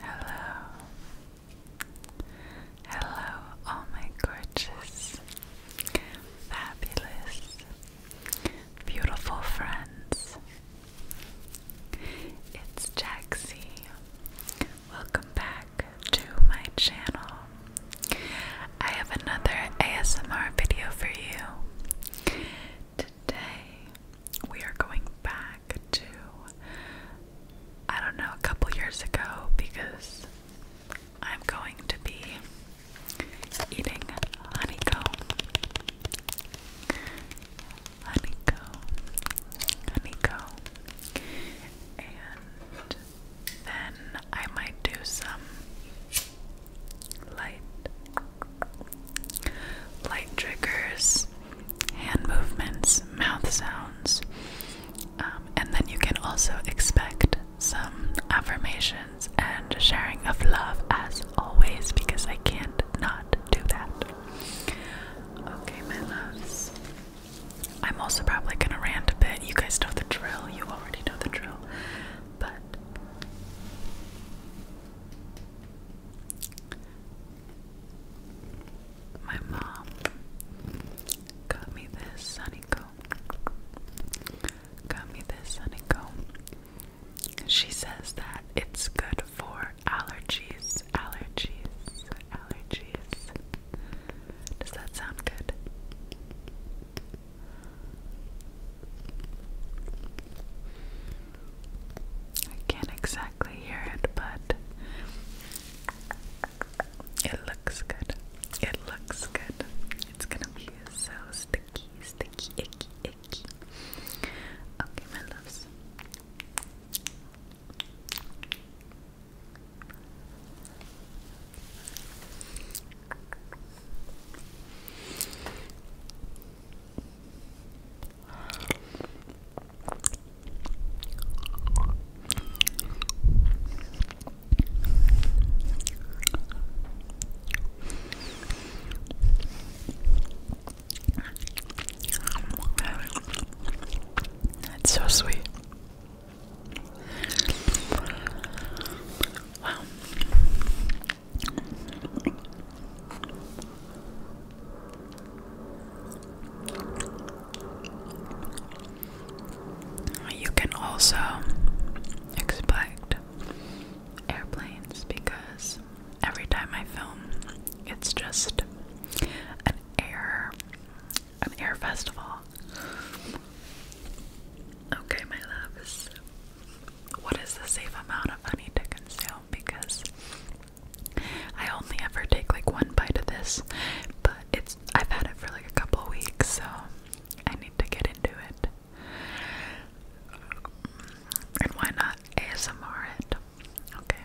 Hello, hello, all oh my gorgeous, fabulous, beautiful friends. It's Jaxie. Welcome back to my channel. I have another ASMR video for you today we are going back to, I don't know, a couple years ago because I'm going to be eating honeycomb. Honeycomb. Honeycomb. And then I might do some light light triggers, hand movements, mouth sounds, um, and then you can also expect some affirmations and sharing of love as always because I can't not do that. Okay, my loves. I'm also probably gonna rant a bit. You guys know the drill, you already know the drill, but my mom got me this sunny Got me this sunny She says that it's good for allergies, allergies, allergies. Does that sound good? I can't exactly hear it, but it looks good. It looks good. It's gonna be so sticky, sticky, icky, icky. Okay, my loves. It's so sweet. Wow. You can also expect airplanes because every time I film, it's just an air, an air festival. Okay, my loves what is the safe amount of honey to consume because I only ever take like one bite of this, but it's I've had it for like a couple weeks, so I need to get into it. And why not ASMR it? Okay.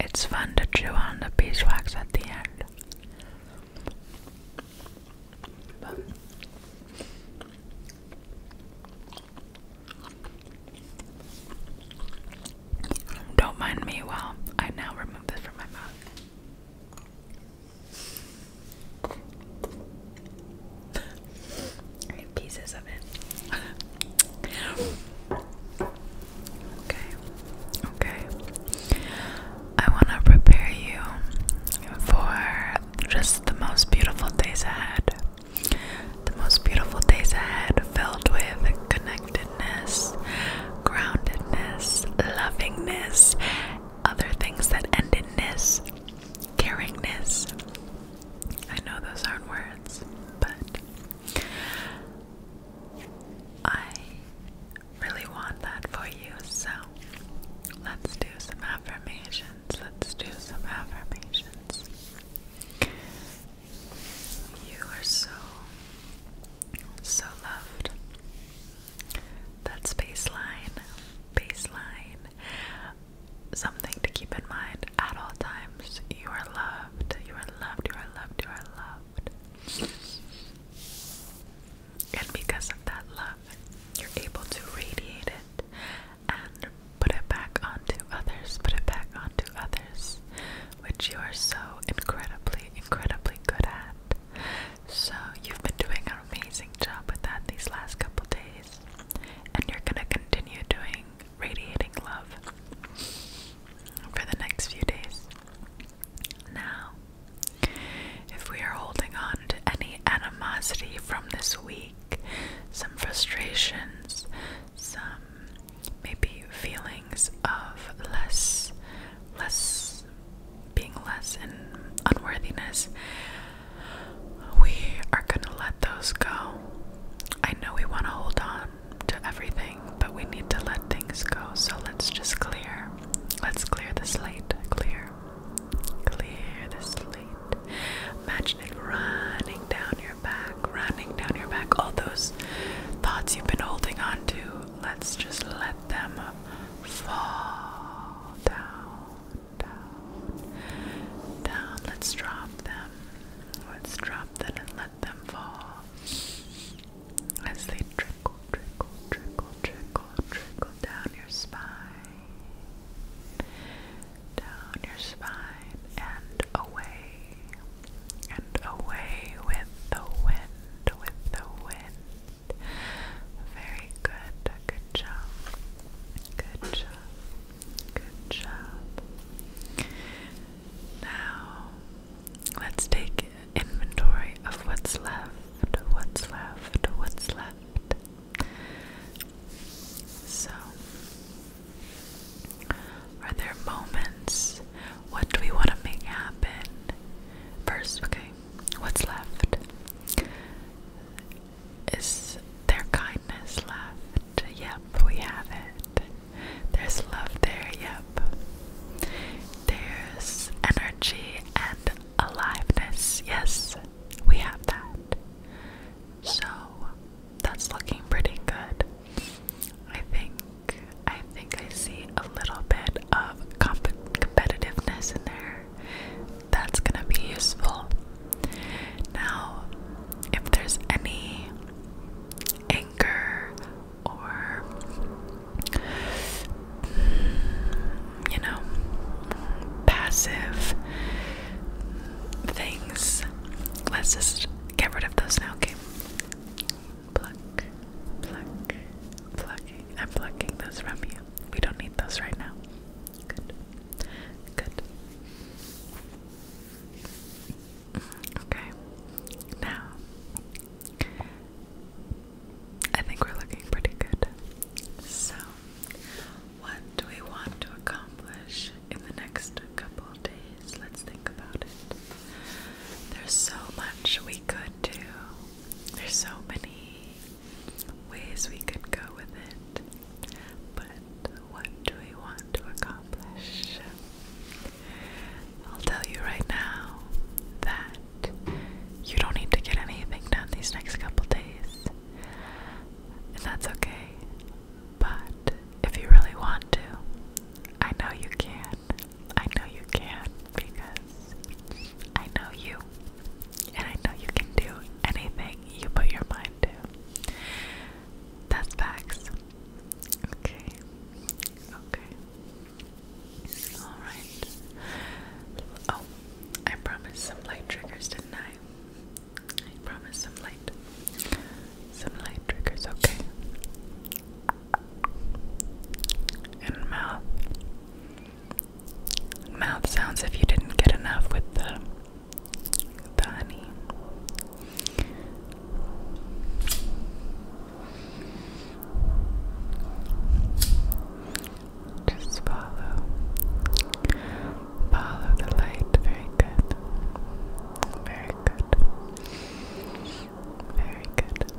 It's fun to chew on the beeswax at the end. But don't mind me Well, I now remove this from my mouth. pieces of it. okay. Okay. I want to prepare you for just the most beautiful days ahead. The most beautiful days ahead filled with connectedness, groundedness, lovingness, other things that end in ness, caringness. I know those aren't words, but I really want that for you. So let's do some affirmations. Let's do some affirmations. You are so, so loved. That's baseline. Baseline. Something to keep in mind at all times. You are loved. You are loved. You are loved. You are loved. And because of that love, you're able to radiate it and put it back onto others, put it back onto others, which you are so incredibly, incredibly good at. So, you've been doing an amazing job with that these last couple days, and you're gonna continue doing radiating love for the next few days. Now, if we are holding on to any animosity from this week, some frustrations, some maybe feelings of less, less being less and unworthiness, we are gonna let those go. I know we want to hold on to everything, but we need to let things go, so let's just clear Let's clear the slate. Clear. Clear the slate. Imagine it running down your back, running down your back. All those thoughts you've been holding on to, let's just let them fall down, down, down. Let's drop them. Let's drop them and let them fall as they drip Drinkle, drinkle, drinkle, drinkle, trickle down your spine, down your spine, and away, and away with the wind, with the wind. Very good, good job, good job, good job. Now, Let's take inventory of what's left, what's left, what's left. So, are there moments? What do we want to make happen? First, okay, what's left? Is there kindness left? Yep, we have it. There's love there, yep. There's energy and aliveness, yes, we have that. So that's looking pretty good. I think I think I see a little bit of competitiveness in there. That's gonna be useful. Now, if there's any anger or mm, you know, passive things. Let's just get rid of those now, okay? Pluck, pluck, plucking. I'm plucking those from you. We don't need those right now. Good, good. Okay. Now, I think we're looking pretty good. So, what do we want to accomplish in the next couple days? Let's think about it. There's so much we could do, there's so many ways we could go with it. But what do we want to accomplish? I'll tell you right now that you don't need to get anything done these next couple days. And that's okay. But if you really want to, I know you can. I know you can because I know you. And I know you can do anything you put your mind to. That's facts. Okay. Okay. Alright. Oh, I promised some light triggers, did I? I some light. Some light triggers, okay. And mouth. Mouth sounds if you didn't get enough with the the honey. Just follow, follow the light. Very good, very good, very good.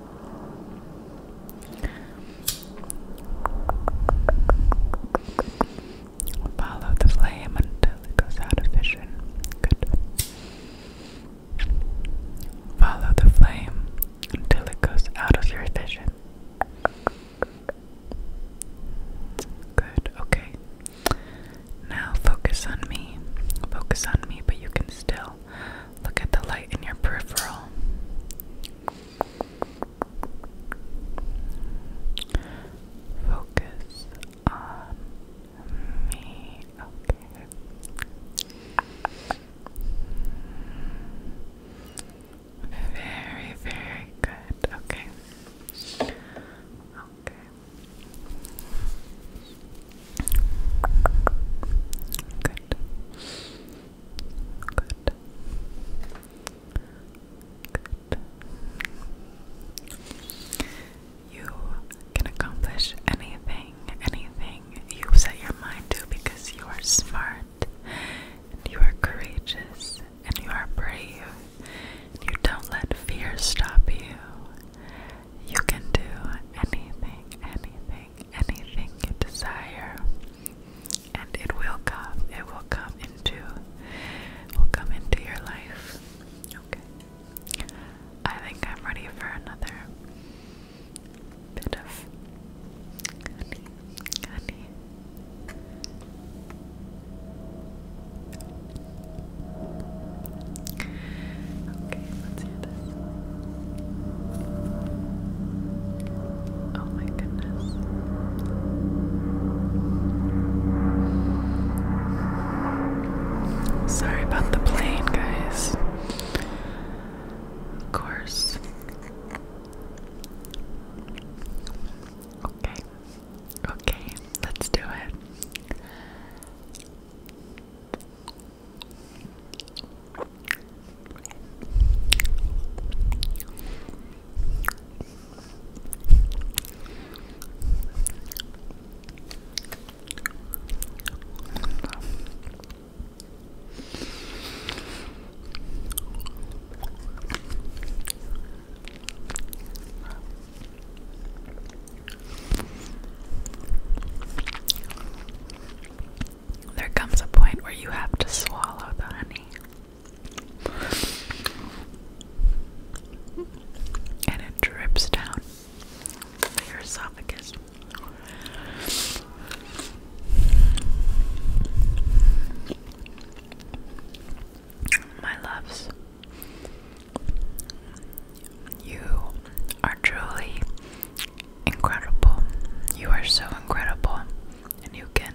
Follow the flame until it goes out of vision. Good. Follow the flame until it goes out of your vision. Good, okay. Now focus on me. Focus on me, but you can still look at the light in your peripheral. Focus on me. Okay. Very, very good. Okay. Okay. Good. Good. Good you can accomplish anything, anything you set your mind to because you are smart, and you are courageous, and you are brave. You don't let fear stop you. You can do anything, anything, anything you desire. And it will come. It will come into will come into your life. Okay. I think I'm ready for another bit of honey, honey. Okay, let's hear this. Oh my goodness. Sorry about the plane, guys. Of course. Okay. Okay, let's do it. There comes a point where you have to swallow the honey and it drips down your esophagus. My loves, you are truly incredible. You are so incredible, and you can,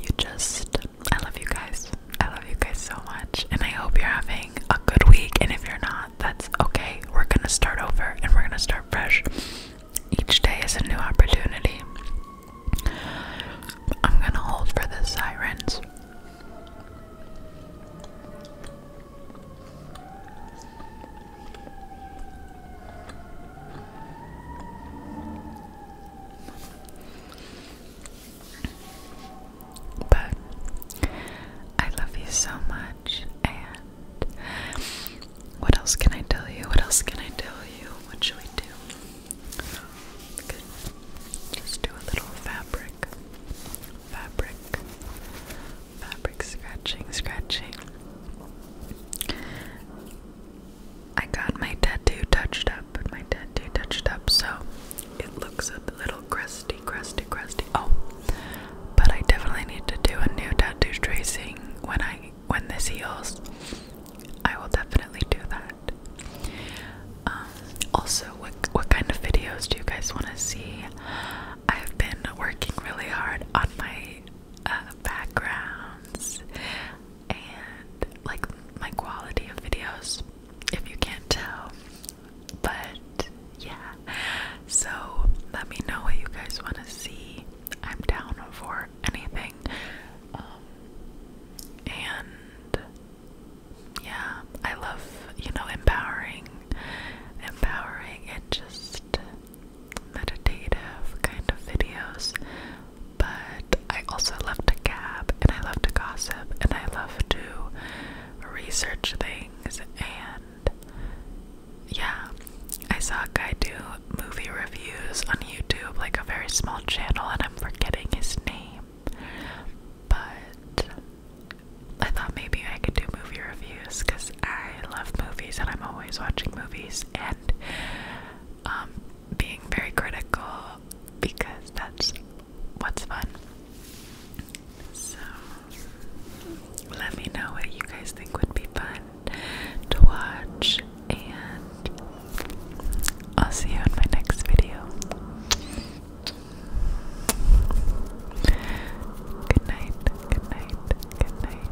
you just I love you guys. I love you guys so much. And I hope you're having a good week. And if you're not, that's okay. We're going to start over and we're going to start fresh. Each day is a new opportunity. I'm going to hold for the sirens. But I love you so much, and what else can I tell you? What else can I tell you? What should we do? We could do a little fabric, fabric, fabric scratching, scratching. I got my tattoo touched up, my tattoo touched up, so it looks a little crusty, crusty, crusty. Oh, but I definitely need to do a new tattoo tracing when I when this heals. I will definitely do that. Um, also, what what kind of videos do you guys want to see? I've been working really hard on my uh, backgrounds and like my quality of videos, if you can't tell. But yeah, so let me know what you guys want to see. I'm down for anything. Um, and yeah, I love, you know, empowering, empowering, and just meditative kind of videos, but I also love to gab and I love to gossip and I love to research things. And yeah, I saw a guy do movie reviews on YouTube, like a very small channel, and I'm forgetting his name. But I thought maybe I could do movie reviews because I love movies and I'm always watching movies. And and um, being very critical because that's what's fun. So, let me know what you guys think would be fun to watch, and I'll see you in my next video. Good night, good night, good night.